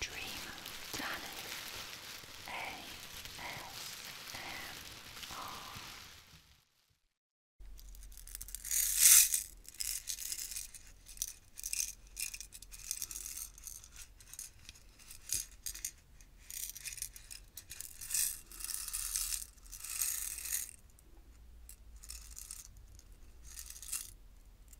Dream Danny ASMR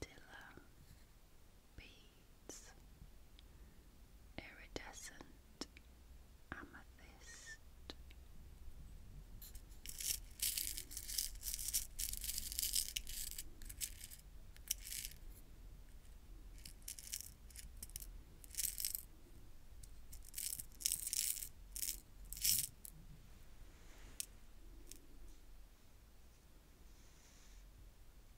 Dilla beads, iridescent amethyst.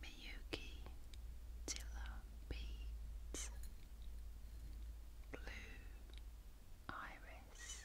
Miyuki Tiller Blue Iris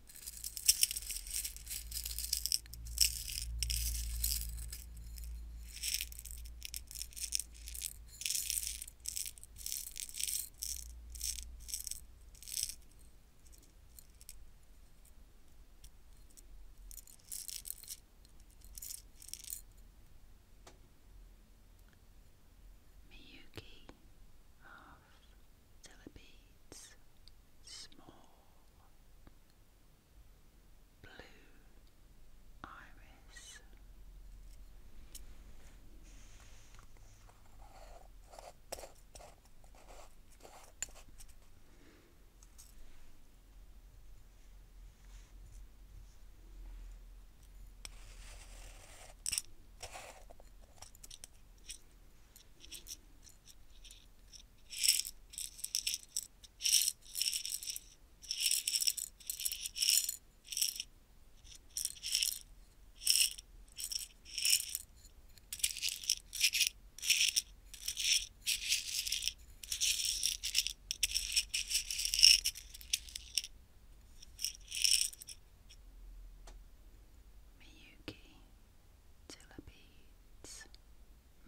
Miyuki of Beats Small blue iris. Miyuki Tilla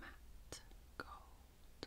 matte gold.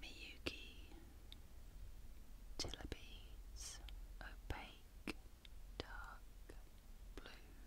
Miyuki Tillaby's opaque dark blue.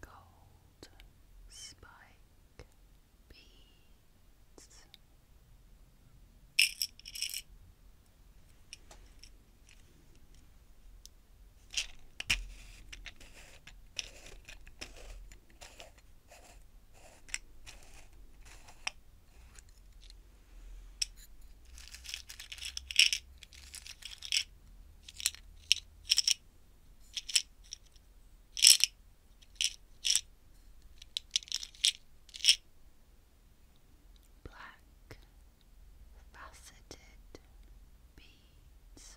Gold spike beads. Black faceted beads.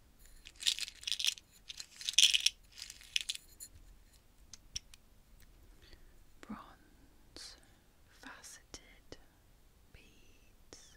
Bronze faceted beads.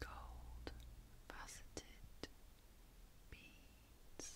Gold faceted beads.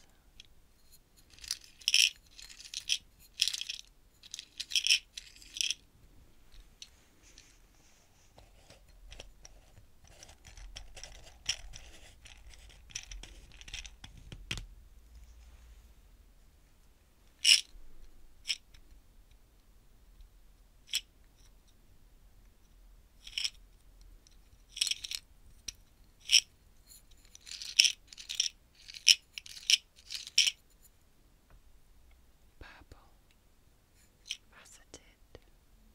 Purple faceted beads.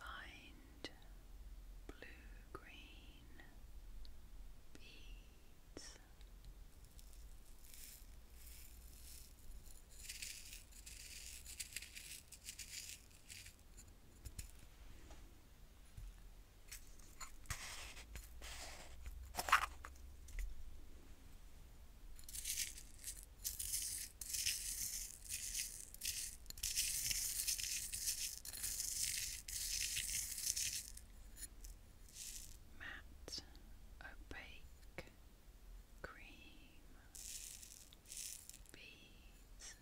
lined blue-green beads. Now Matte Opaque Cream Beads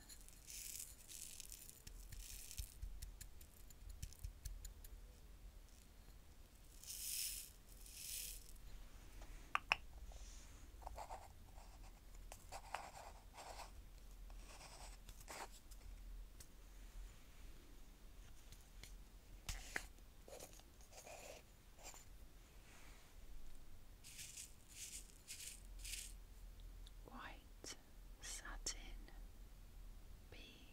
White satin bee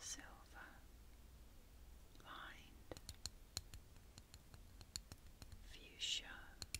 Silver lined fuchsia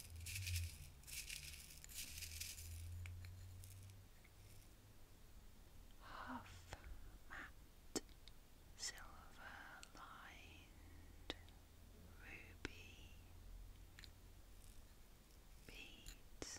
half matte silver lined ruby beads.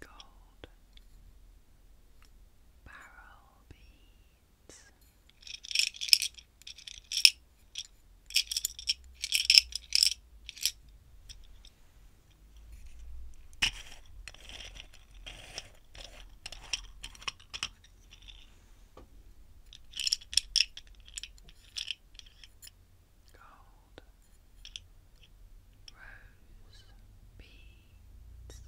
gold barrel beads. Gold gold rose beads.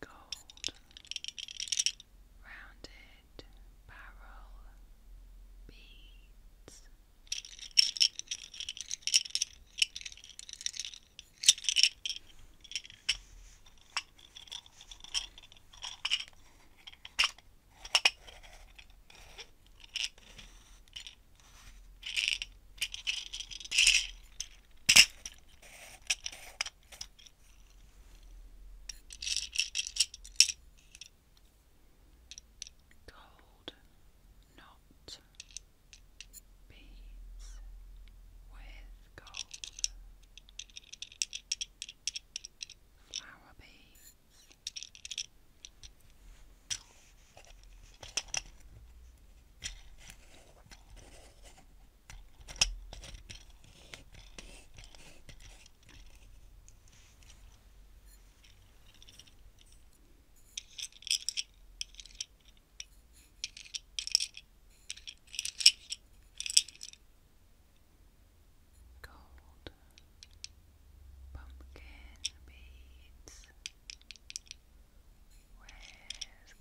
Gold rounded barrel beads. Gold knot beads with gold, flower beads. Gold pumpkin beads with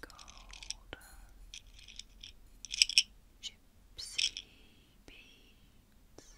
gold gypsy beads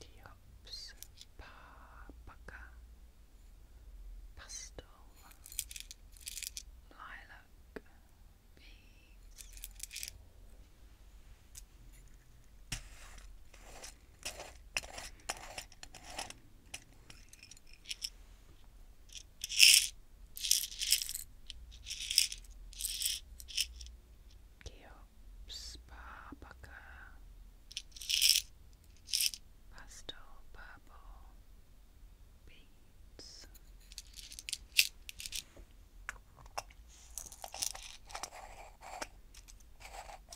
Diops, Papaca, Pastel, Lilac, Bees. Geops Barbaka Pastel Purple Beads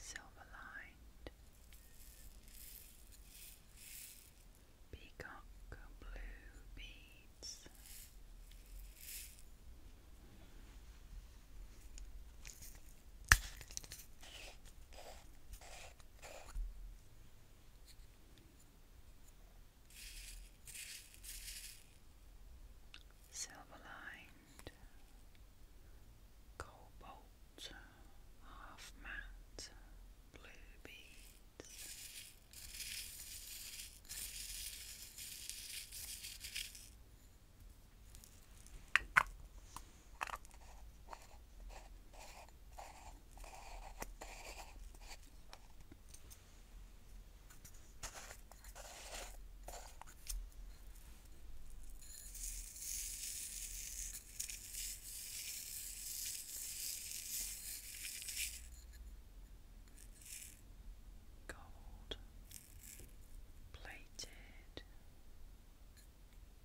Silver lined peacock blue beads. Silver lined, cobalt, half matte, blue beads. Gold plated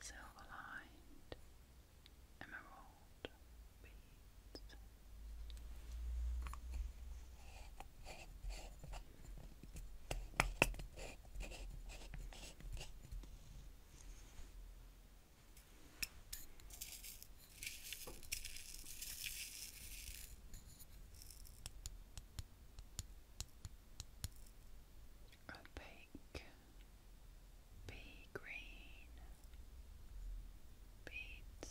Silver lined emerald beads. Opaque, pea green beads.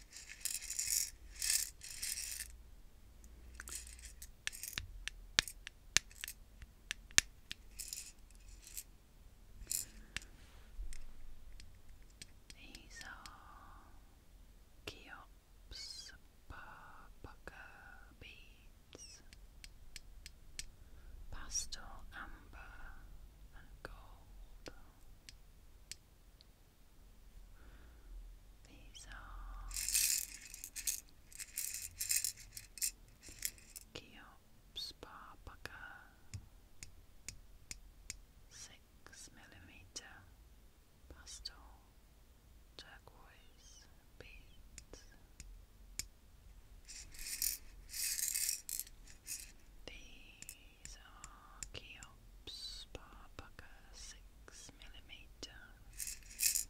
These are Keops Parbucker beads, pastel amber and gold. These are Keops Barbucker six millimeter pastel turquoise beads. These these are Keops Barbucker 6mm turquoise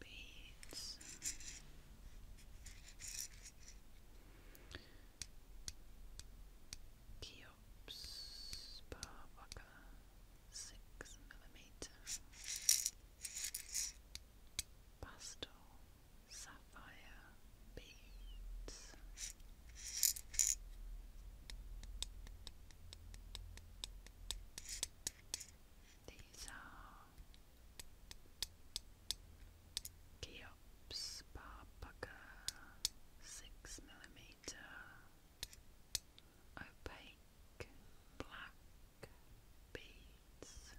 beads. Keops Barbucker 6mm pastel sapphire beads. These are Cheops Barbucker six millimeter opaque black beads.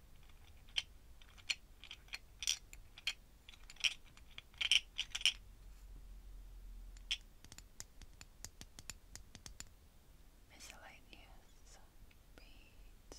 Miscellaneous beads.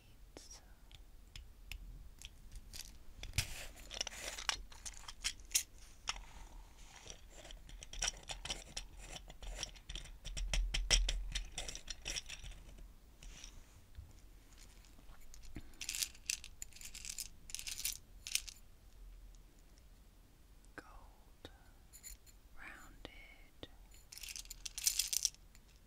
needs. Gold rounded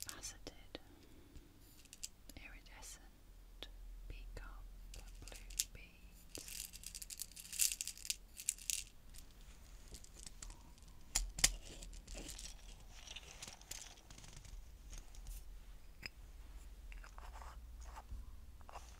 Faceted, iridescent, peacock, blue beads.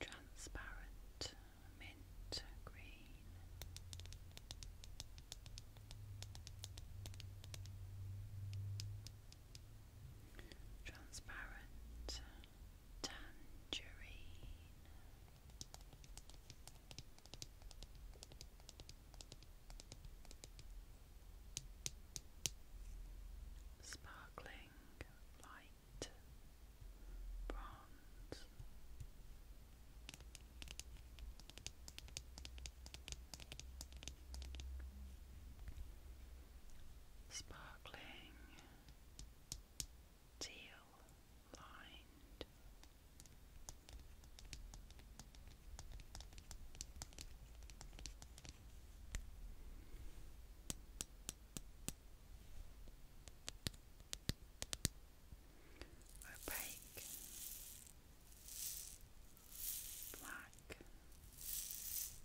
Transparent mint green. Transparent tangerine. Sparkling light bronze. Sparkling teal lined. Opaque black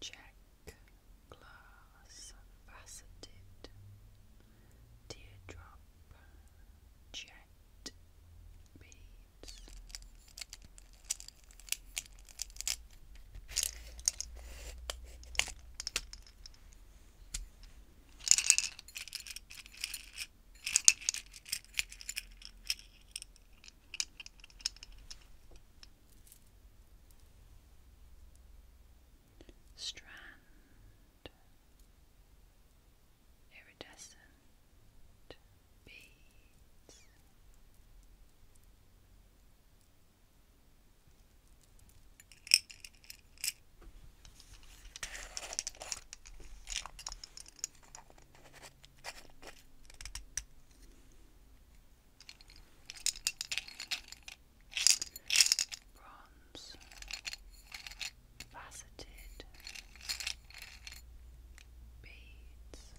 Check glass faceted teardrop jet beads. Strand Iridescent Beads Bronze, faceted beads.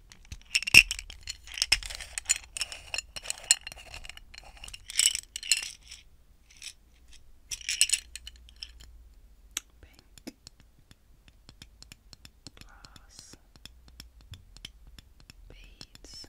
Pink glass beads.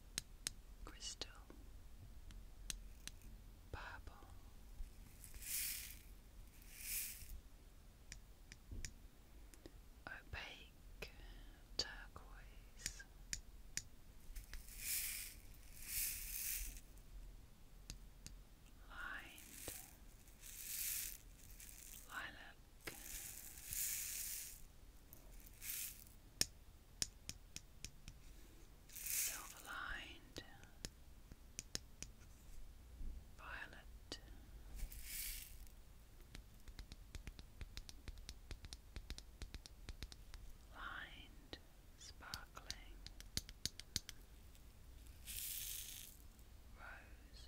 crystal, purple. Opaque turquoise, lined lilac, silver lined, violet. Lined, sparkling rose,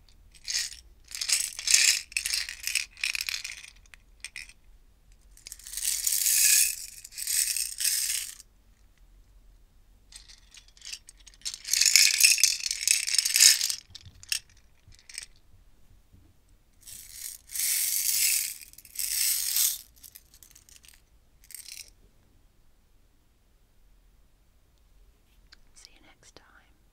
See you next time.